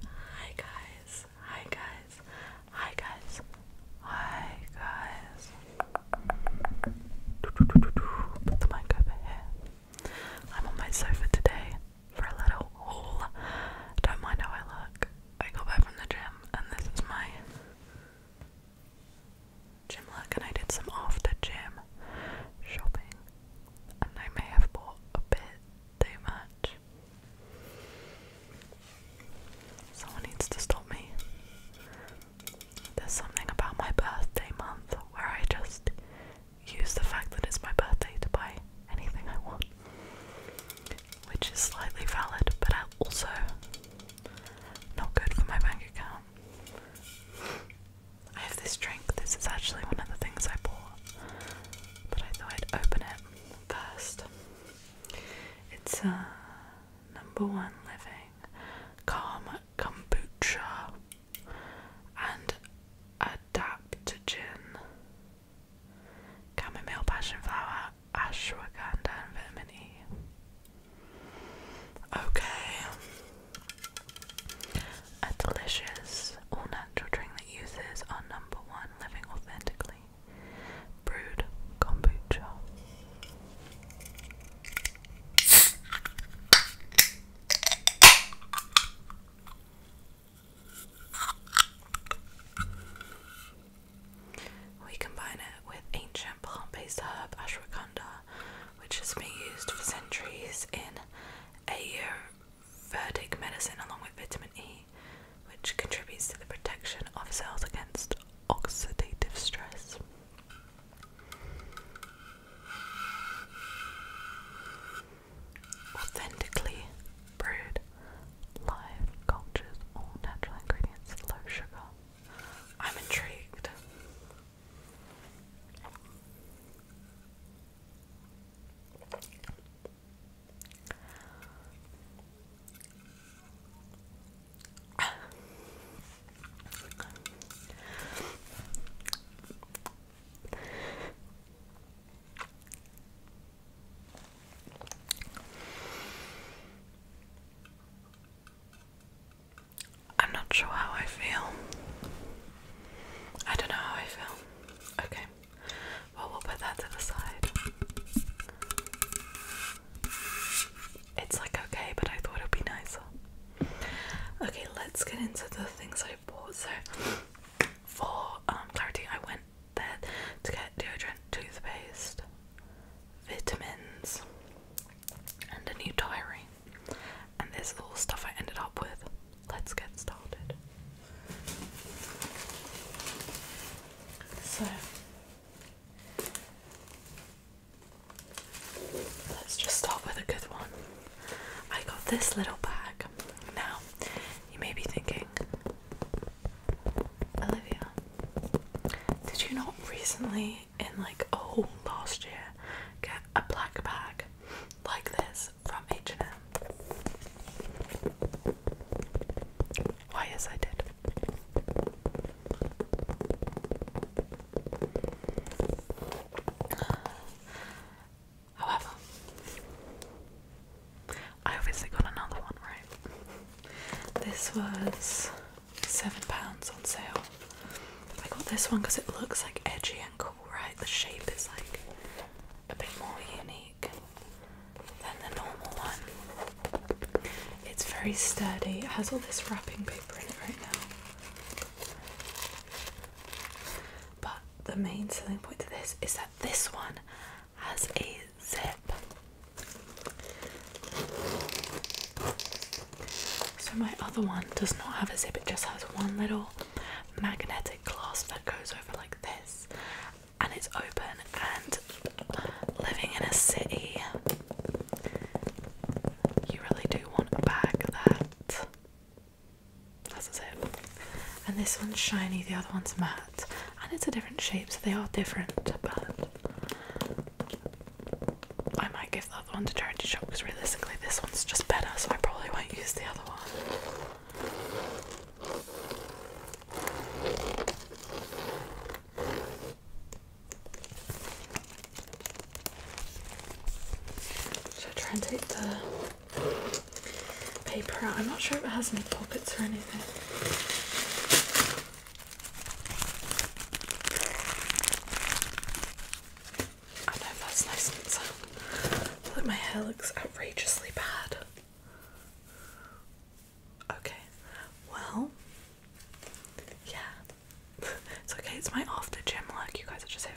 Hi guys, hi guys, hi guys, hi guys. Put the mic over here. I'm on my sofa today for a little haul. Don't mind how I look. I got back from the gym and this is my gym look and I did some after gym shopping and I may have bought a bit too much Someone needs to stop me. There's something about my birthday month where I just use the fact that it's my birthday to buy anything I want, which is slightly valid, but also not good for my bank account. I have this drink, this is actually one of the things I bought but I thought I'd open it first. It's uh, number one living calm kombucha and adaptogen, chamomile, passion flower, ashwagandha, and vitamin E. Okay, a delicious all natural drink that uses our number one living authentically brewed kombucha. We combine it with ancient plant based herb ashwagandha, which has been used for centuries in Ayur verdic medicine along with vitamin E, which contributes to the protection of cells against oxidative stress. Authentically brewed live cultures, all natural ingredients, low sugar. I'm intrigued. I'm not sure how I feel. I don't know how I feel. Okay. Well, we'll put that to the side. It's like okay, but I thought it'd be nicer. Okay, let's get into the things I bought. So, for um, clarity, I went there to get deodorant, toothpaste, vitamins, and a new diary. And this little stuff I ended up with let's get started. So, let's just start with a good one. I got this little bag. Now, you may be thinking, Olivia, did you not recently, in like oh last year, get a black bag like this? from H&M. Why, yes, I did. However, I obviously got another one, right? This was £7 on sale. I got this one because it looks like edgy and cool, right? The shape is like a bit more unique than the normal one. It's very sturdy, it has all this wrapping paper in it right now. But the main selling point to this is that this one has a zip. So my other one does not have a zip, it just has one little magnetic clasp that goes over like this and it's open and living in a city you really do want a bag that that's a and this one's shiny the other one's matte and it's a different shape so they are different but I might give the other one to charity shop because realistically this one's just better so I probably won't use the other one should I try and take the paper out. I'm not sure if it has any pockets or anything. I know that's nice and sound. But my hair looks outrageously bad. Okay, well, yeah, it's okay. It's my after gym look. You guys are just here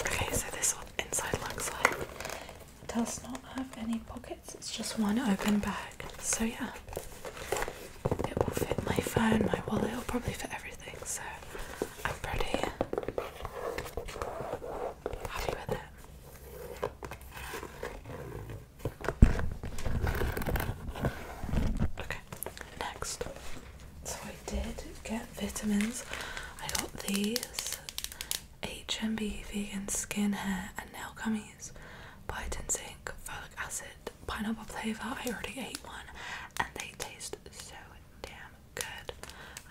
Okay, so this is inside looks like. It does not have any pockets, it's just one open bag. So yeah, it will fit my phone, my wallet, will probably fit everything. So I'm pretty happy with it. Okay, next. So I did get vitamins. I got these HMB vegan skin, hair and nail gummies, Biotin zinc, folic acid, pineapple flavour. I already ate one and they taste so damn good.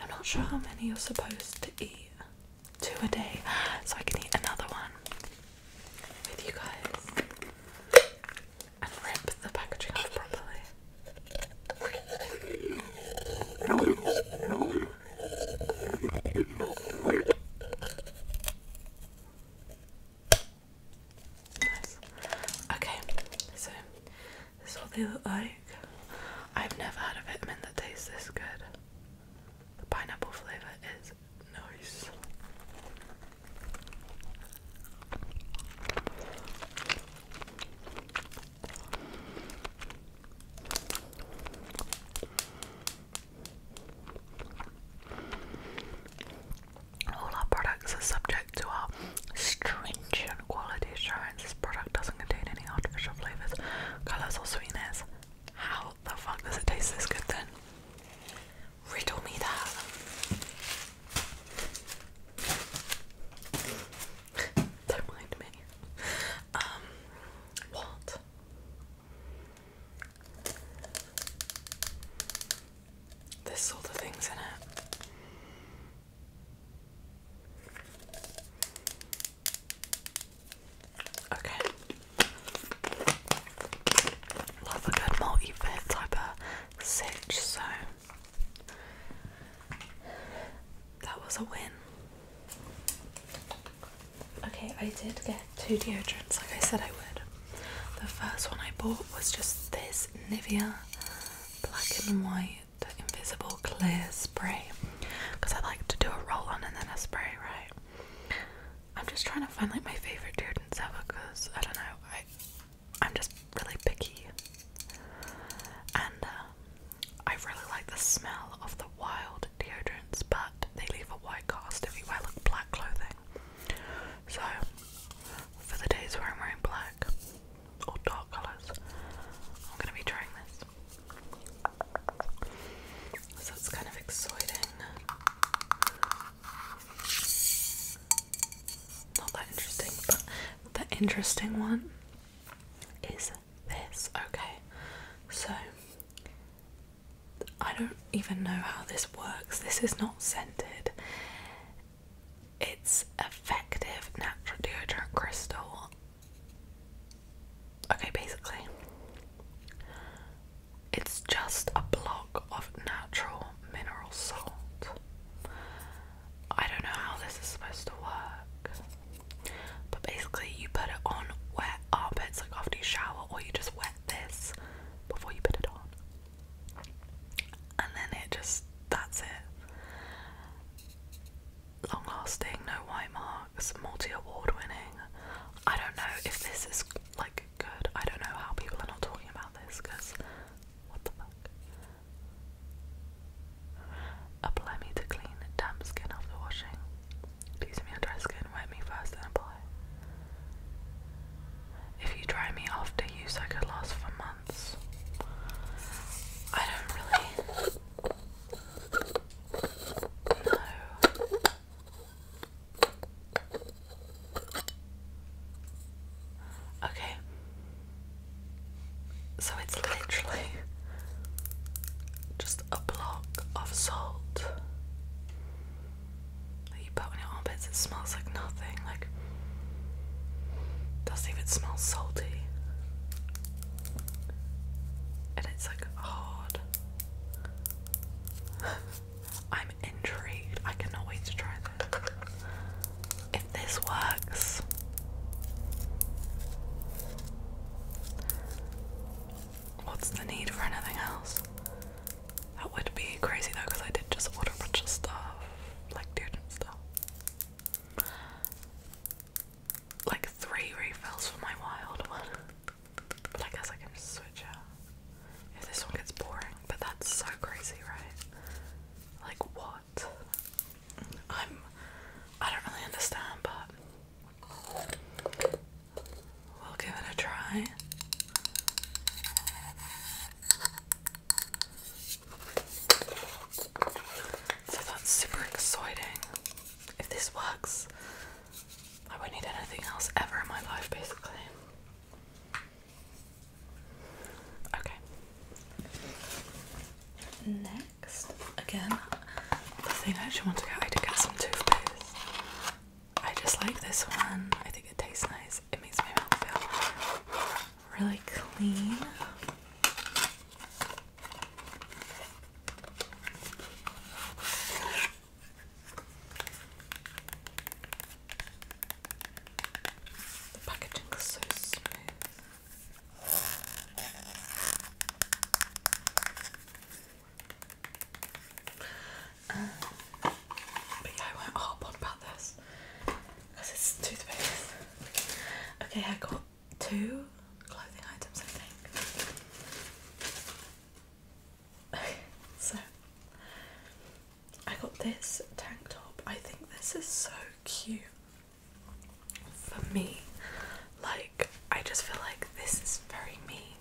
I'm not sure how many you're supposed to eat. Two a day, so I can eat another one with you guys and rip the packaging properly. Nice. Okay, so this is what they look like. I've never had a vitamin that tastes this good. The pineapple flavour is nice. All our products are subject to our stringent quality assurance. This product doesn't contain any artificial flavours, colours, or sweeteners. How the fuck does it taste this good then? Riddle me that. Don't mind me. Um, what? There's sort of things in it. Okay. Love a good multi-fit type of sitch, so that was a win. Okay, I did get two deodorants like I said I would. The first one I bought was just this Nivea black and white invisible clear spray because I like to do a roll on and then a spray, right? I'm just trying to find like my favorite deodorant ever because I don't know, I'm just really picky. And uh, I really like the smell of the wild deodorants, but they leave a white cast if you black clothing. So for the days where I'm wearing black or dark colours, I'm gonna be trying this. So it's kind of exciting. Not that interesting, but the interesting one is this. Okay, so I don't even know how this works. This is not scented, it's effective natural deodorant crystal. Okay, basically, it's just a block of natural mineral salt. I don't know how this is supposed to work. But basically, you put it on wet armpits like after you shower, or you just wet this before you put it on. And then it just, that's it. Long lasting, no white marks, multi award winning. I don't know if this is like good. I don't know how people are not talking about this because what the fuck. Apply me to clean damp skin after washing. Please me on dry skin, wet me first, then apply. If you dry me after use, I could last for months. I don't really. No. Okay. So it's literally just a block of salt you put on your armpits. It smells like nothing. Like doesn't even smell salty. And it's like hard. I'm intrigued. I cannot wait to try if this works. What's the need for anything else? That would be crazy though, because I did just order a bunch of stuff, like student stuff. Like three refills for my wild one. But I guess I can switch out if this one gets boring but that's so crazy, right? Like what? I'm I don't really understand, but we'll give it a try. So that's super exciting. If this works, I won't need anything else ever in my life, basically. Okay. Next, again, the thing I actually want to get, I did get some toothpaste. I just like this one. I think it tastes nice. It makes my mouth feel really clean. The packaging is so smooth. Um, but I won't harp on about this because it's toothpaste. Okay, I got two clothing items, I think. so I got this tank top. I think this is so cute for me. Like, I just feel like this is very me.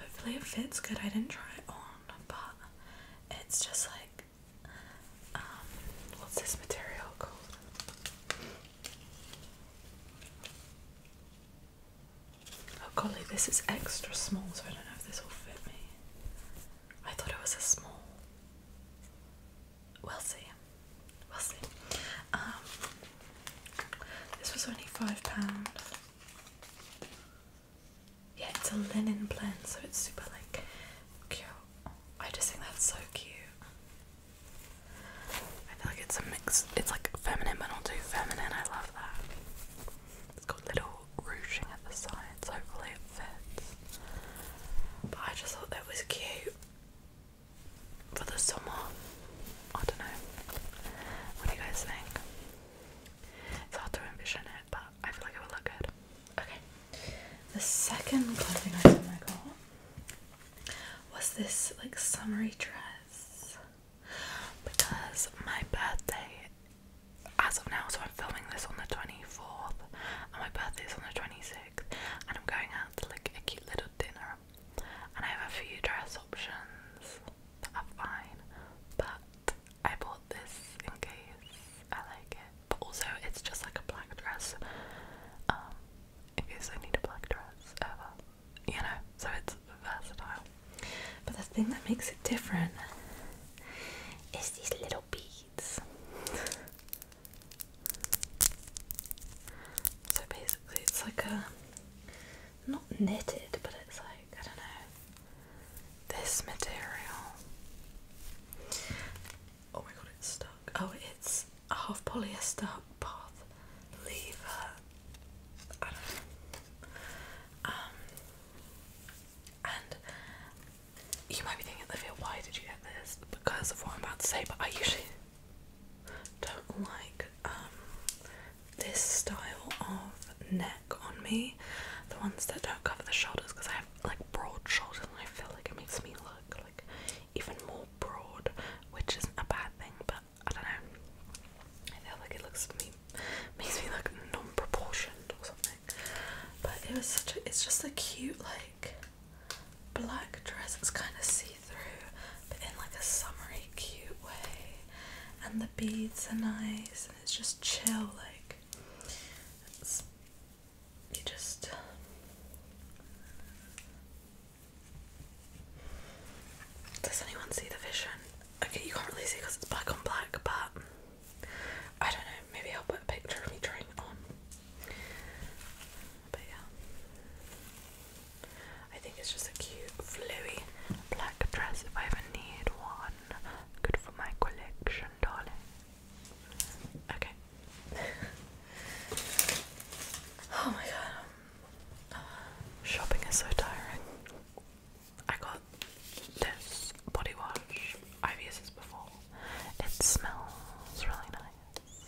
Hopefully, it fits good. I didn't try it on, but it's just like, um, what's this material called? Oh golly, this is extra small, so I don't know if this will fit me. I thought it was a small. We'll see. We'll see. Um, this was only five pounds. Yeah, it's a linen blend, so it's super like cute. I just think that's so cute. I feel like it's a mix. It's like feminine, but not too feminine. I love that. It's got little ruching at the sides, hopefully it fits. But I just thought that was cute for the summer. I don't know. What do you guys think? It's hard to envision it, but I feel like it would look good. Okay. The second clothing item I got was this like summery dress because my birthday as of now, so I'm filming this on the 24th, and my birthday is on the 26th, and I'm going out to like a cute little dinner. And I have a few dress options that are fine, but I bought this in case I like it. But also, it's just like a black dress, um, in case I need a black dress ever, you know, so it's versatile. But the thing that makes it different is these little beads. so basically, it's like a not knitted, but it's like I don't know this material. Oh my god, it's stuck. Oh, it's a half polyester, half leather. I don't know. Um, and you might be thinking, Olivia, why did you get this? Because of what I'm about to say, but I usually don't like um, this style of neck on me. The ones that don't cover the shoulders, because I have like broad shoulders and I feel like it makes me look like even more broad, which isn't a bad thing, but I don't know. I feel like it looks me makes me look non-proportioned or something. But it was such a it's just a cute like black dress. It's kind of see-through, but in like a summery cute way. And the beads are nice and it's just chill, like you just does anyone see the vision? Okay, you can't really see because it's black on black, but I don't know, maybe I'll put a picture of me trying it on. But yeah. I think it's just a cute, flowy black dress if I ever need one. Good for my collection, darling. Okay. oh my god. Shopping is so tiring. I got this body wash. I've used this before. It smells really nice.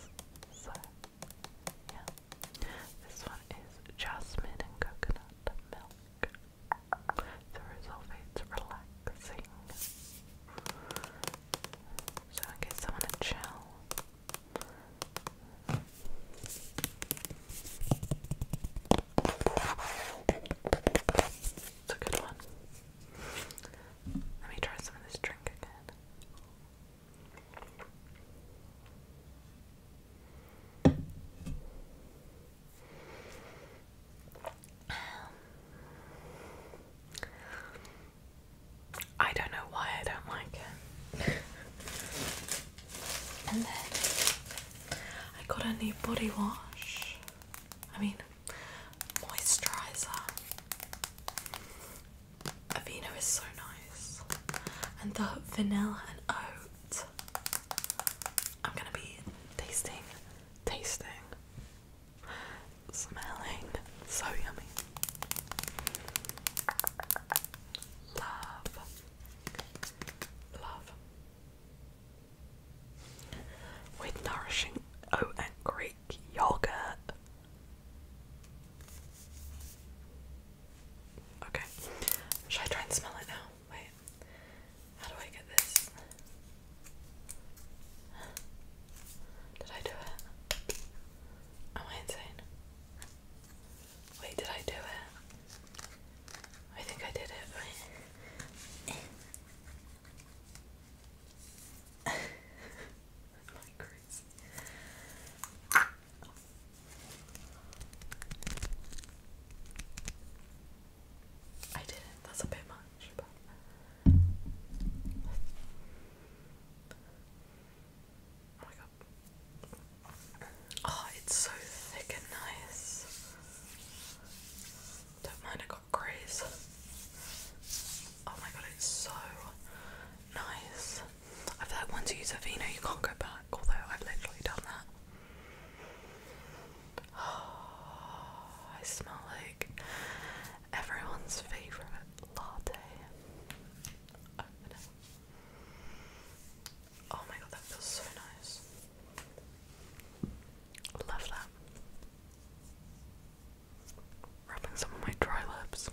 yeah. This one is jasmine and coconut milk. The result is relaxing. So, in case I to chill. It's a good one. Let me try some of this drink again. I don't know why I don't like it. And then I got a new body wash. I mean, moisturizer. Avena is so nice. And the vanilla and oat. I'm gonna be tasting, tasting, smelling. So yummy. Love. Love with nourishing oat and Greek yogurt. Okay, should I try and smell it now? Wait, how do I get this? Did I do it? Am I insane? Wait, did I do it? I think I did it, I did it. That's a bit much, Oh my god. Oh, it's so thick and nice. Don't mind, I got grease. Oh my god, it's so nice. I feel like once use a vino, you can't go back, although I've literally done that. Oh, I smell like everyone's favourite latte. Oh, Oh my god, that feels so nice. Love that. Rubbing some of my dry lips.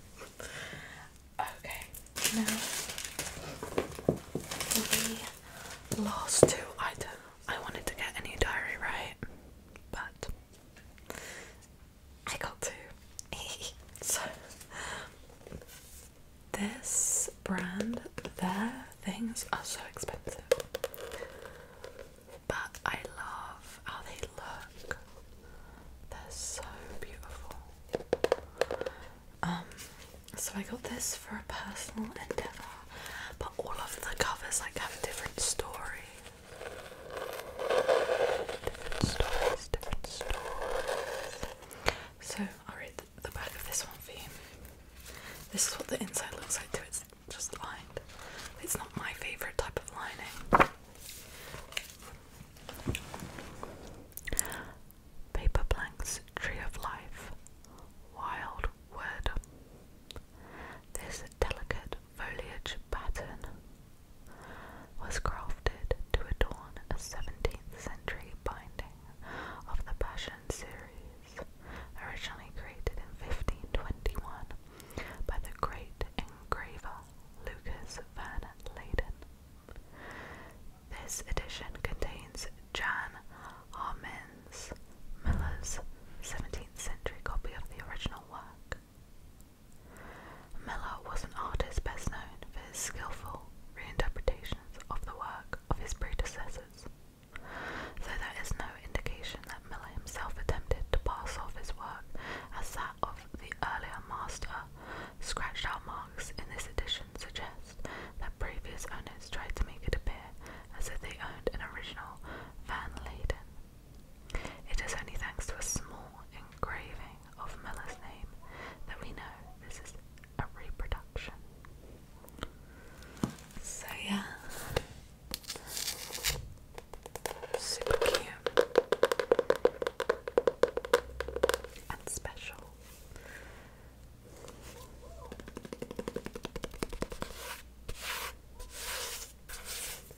okay, now the last two items. I wanted to get a new diary, right? But I got two. so this brand, their things are so expensive, but I love how they look. They're so beautiful. Um, so I got this for a personal endeavor, but all of the covers like have a different story. Different stories, different stories. So I'll read the, back of this one for you. This is what the inside looks like too. It's just lined. It's not my favourite type of lining. Paper Blanks Tree of Life. Wild Wood. This delicate foliage pattern was crafted to adorn a 17th century binding of the Passion series, originally created in 1521 by the great engraver Lucas van Leyden. This edition contains Jan Harmens Miller's 17th century copy of the original work. Miller was an artist best known for his skillful reinterpretation of the work of his predecessors, though there is no indication that Miller himself attempted to pass off his work as that of the earlier master. Scratched out marks in this edition suggest that previous owners tried to make it appear as if they owned an original Van Leyden. It is only thanks to a small engraving of Miller's name that we know this is a reproduction. So yeah, super cute and special.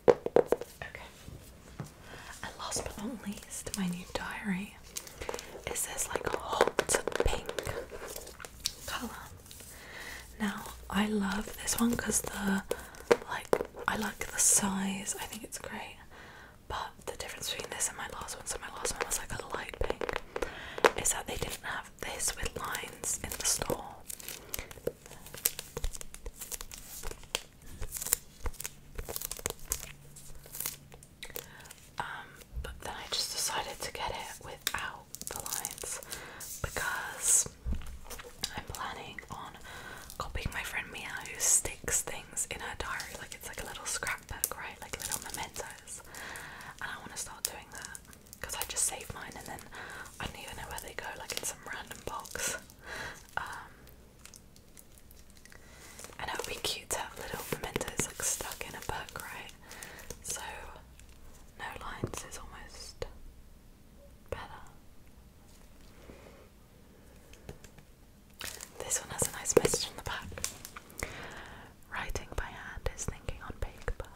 Okay. And last but not least, my new diary me is this like hot pink color. Now I love this one because the like I like the size. I think it's great. But the difference between this and my last one, so my last one was like a light pink, is that they didn't have this with lines in the store. Um, but then I just decided to get it without the lines because I'm planning on copying my friend Mia who sticks things in her diary like it's like a little scrapbook, right? Like little mementos. And I want to start doing that because I just save mine and then I don't even know where they go, like in some random box. Um, and it would be cute to have little mementos like stuck in a book, right? So no lines is almost better. This one has a nice message on the back. Writing by hand is thinking on paper.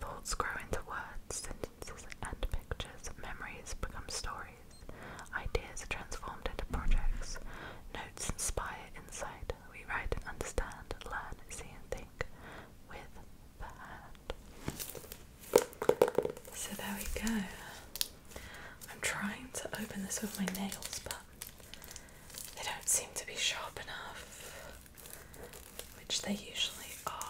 Thoughts grow into words, sentences, and pictures. Memories become stories. Ideas are transformed into projects. Notes inspire we write understand, learn, see and think with the hand. So there we go. I'm trying to open this with my nails, but they don't seem to be sharp enough, which they usually are.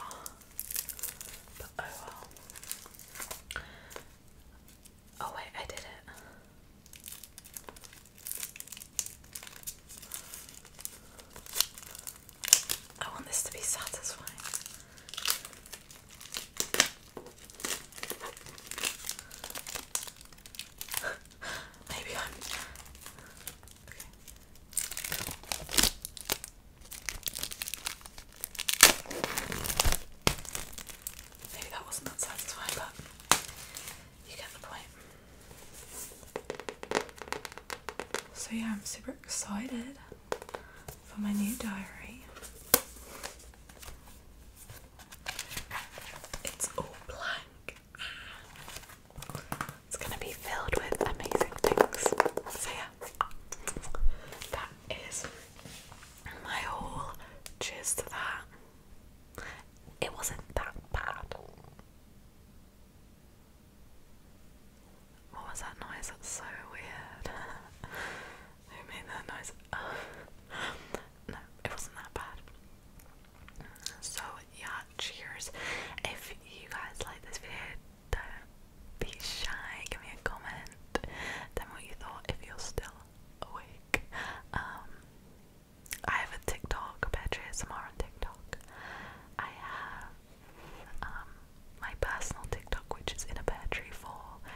Oh wait, I did it. I want this to be satisfying. Maybe I'm okay. Maybe that wasn't that satisfying, but you get the point. So, yeah, I'm super excited for my new diary. It's all blank. It's gonna be filled with amazing things. So, yeah, that is my haul. Cheers to that. It wasn't that bad. What was that noise? That's so weird. Who made that noise? no, it wasn't that bad. So, yeah, cheers. If you guys like this video, don't be shy. Give me a comment. Tell what you thought. If you're still awake. Um, I have a TikTok, Badger ASMR on TikTok. I have um, my personal TikTok, which is in a battery for.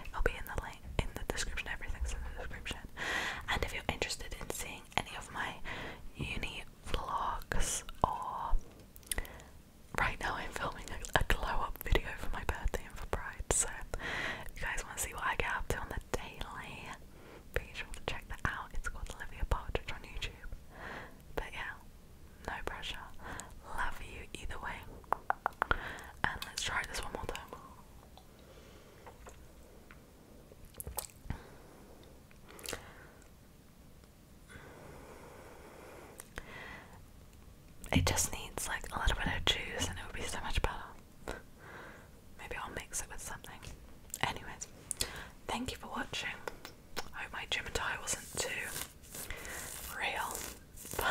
It'll be in the link in the description. Everything's in the description. And if you're interested in seeing any of my uni vlogs or right now, I'm filming a, a glow up video for my birthday and for Pride. So if you guys want to see what I get up to on the daily, be sure to check that out. It's called Olivia Partridge on YouTube. But yeah, no pressure. Love you either way. And let's try this one more time. It just needs like a little bit of juice and it would be so much better. Maybe I'll mix it with something. Anyways, thank you for watching. I hope my gym attire wasn't too real.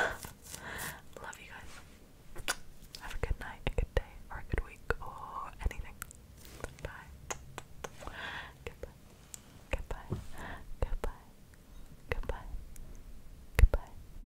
love you guys. Have a good night, a good day, or a good week, or anything. Bye. Goodbye. Goodbye. Goodbye. Goodbye. Goodbye.